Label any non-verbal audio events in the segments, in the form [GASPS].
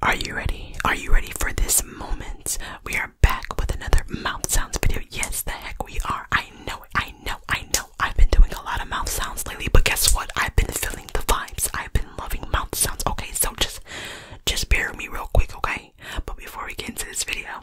Are you ready? Are you ready for this moment? We are back with another mouth sounds video. Yes, the heck we are. I know it. I know. I know. I've been doing a lot of mouth sounds lately, but guess what? I've been feeling the vibes. I've been loving mouth sounds. Okay, so just just bear with me real quick, okay? But before we get into this video,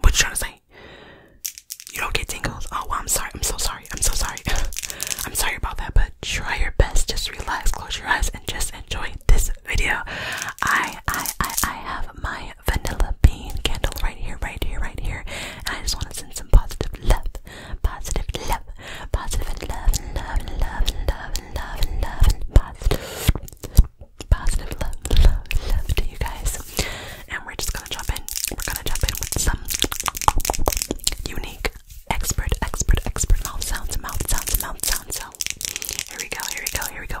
what you trying to say? You don't get tingles? Oh, well, I'm sorry. I'm so sorry. I'm so sorry. [LAUGHS] I'm sorry about that, but try your best. Just relax, close your eyes, and just enjoy this video. I, I, I, I have my vanilla bean candle right here, right here, right here, I just want to send some positive love, positive love, positive positive love, love, love, love, love, love, positive positive love, love, love to you guys. And we're just gonna jump in. We're gonna jump in with some unique expert, expert, expert mouth sounds, mouth sounds, mouth sounds. So here we go, here we go, here we go.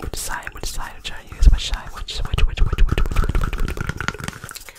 Which side? Which side should I use? Which side? Which which which which which which which which which? which?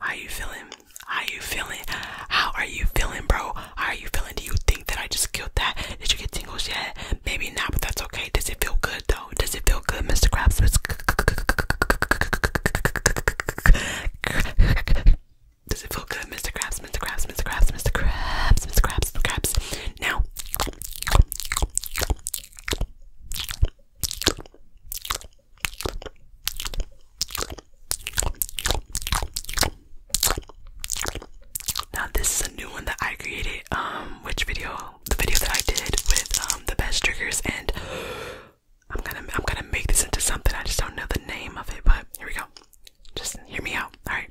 How you feeling? How you feeling? How are you feeling, bro? How are you feeling? Do you think that I just killed that? Did you get tingles yet? Maybe not, but that's okay. Does it feel good though? Does it feel good, Mr. Krabs? Does it feel good, Mr. Krabs? Mr. Krabs, Mr. Krabs, Mr. Krabs, Mr. Krabs, Mr. Krabs. Now. Now this is a new one that I created. Um, which video? The video that I did with um the best triggers, and [GASPS] I'm gonna I'm gonna make this into something. I just don't know the name of it, but here we go. Just hear me out. All right.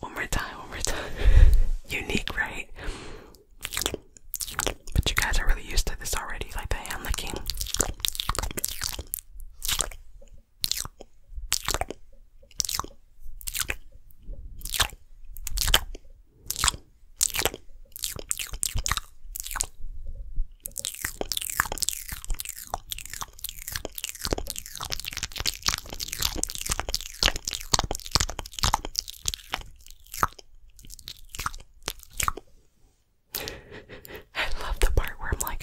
One more time, one more time. [LAUGHS] Unique, right? But you guys are really used to this already, like the hand licking. I love the part where I'm like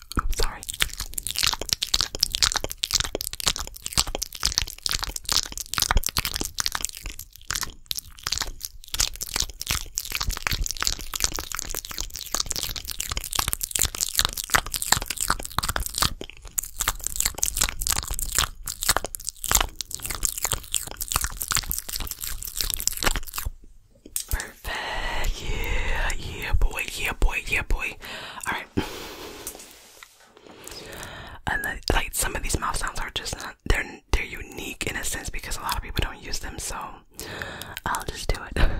Oops, sorry. Perfect. Yeah, yeah, boy, yeah, boy, yeah, boy. All right. And like some of these mouth sounds are just not they're they're unique in a sense because a lot of people don't use them. So I'll just do it. [LAUGHS]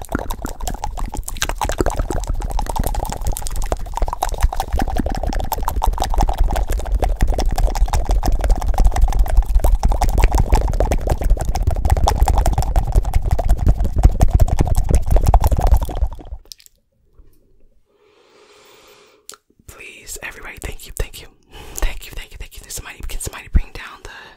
Please, everybody, thank you, thank you, thank you, thank you, thank you. Somebody, can somebody bring down the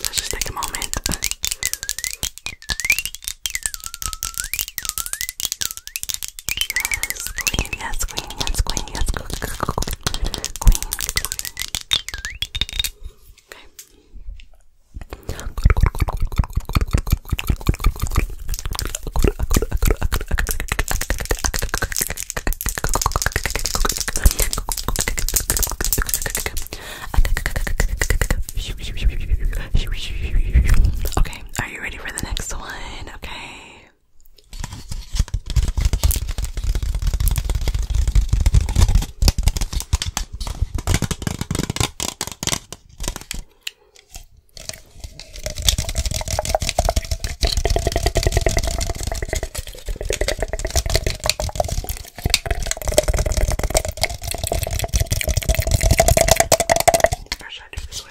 Let's just take a moment Yes, queen, yes, queen, yes, queen, yes, queen, queen. Okay. Okay, are you ready for the next one? Okay. Or should I do it this way?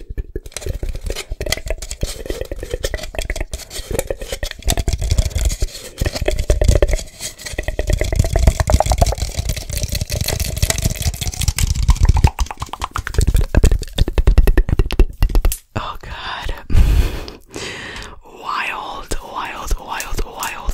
Oh god. wild, wild, wild, wild.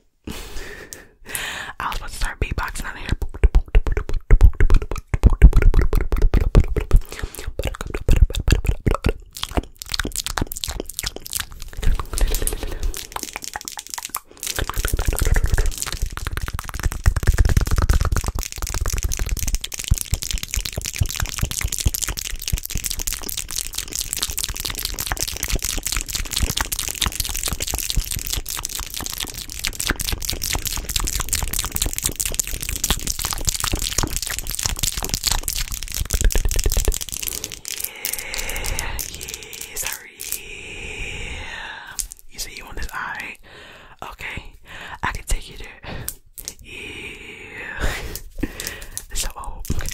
I was about to start beatboxing out here yeah, sorry. You see you on this eye? Okay, I can take you there. Yeah. [LAUGHS] so Okay.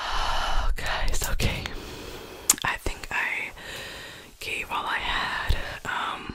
Oh, guys, [SIGHS] okay. I think I gave all I had. Um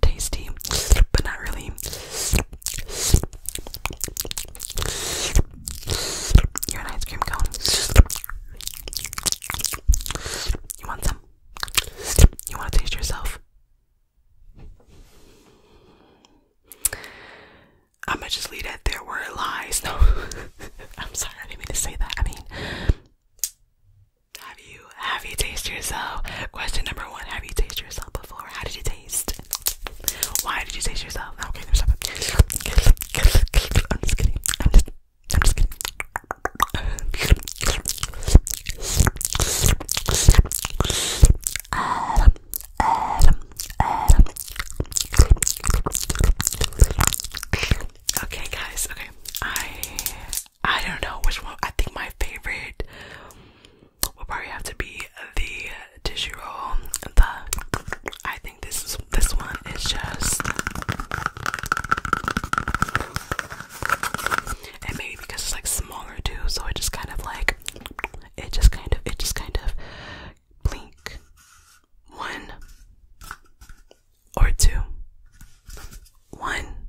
tasty, but not really. You're an ice cream cone. You want some? You want to taste yourself? I'm gonna just leave it. There were lies. No, [LAUGHS] I'm sorry. I didn't mean to say that. I mean, have you have you tasted yourself? Question number one: Have you tasted yourself before? How did you taste? Why did you taste yourself? Okay, there's I'm just kidding. I'm just, I'm just kidding. Okay, guys. Okay, I I don't know which one. I think my favorite will probably have to be the tissue roll. The I think this is this one is just and maybe because it's like smaller too, so it just kind of like it just kind of it just kind of blink one or two one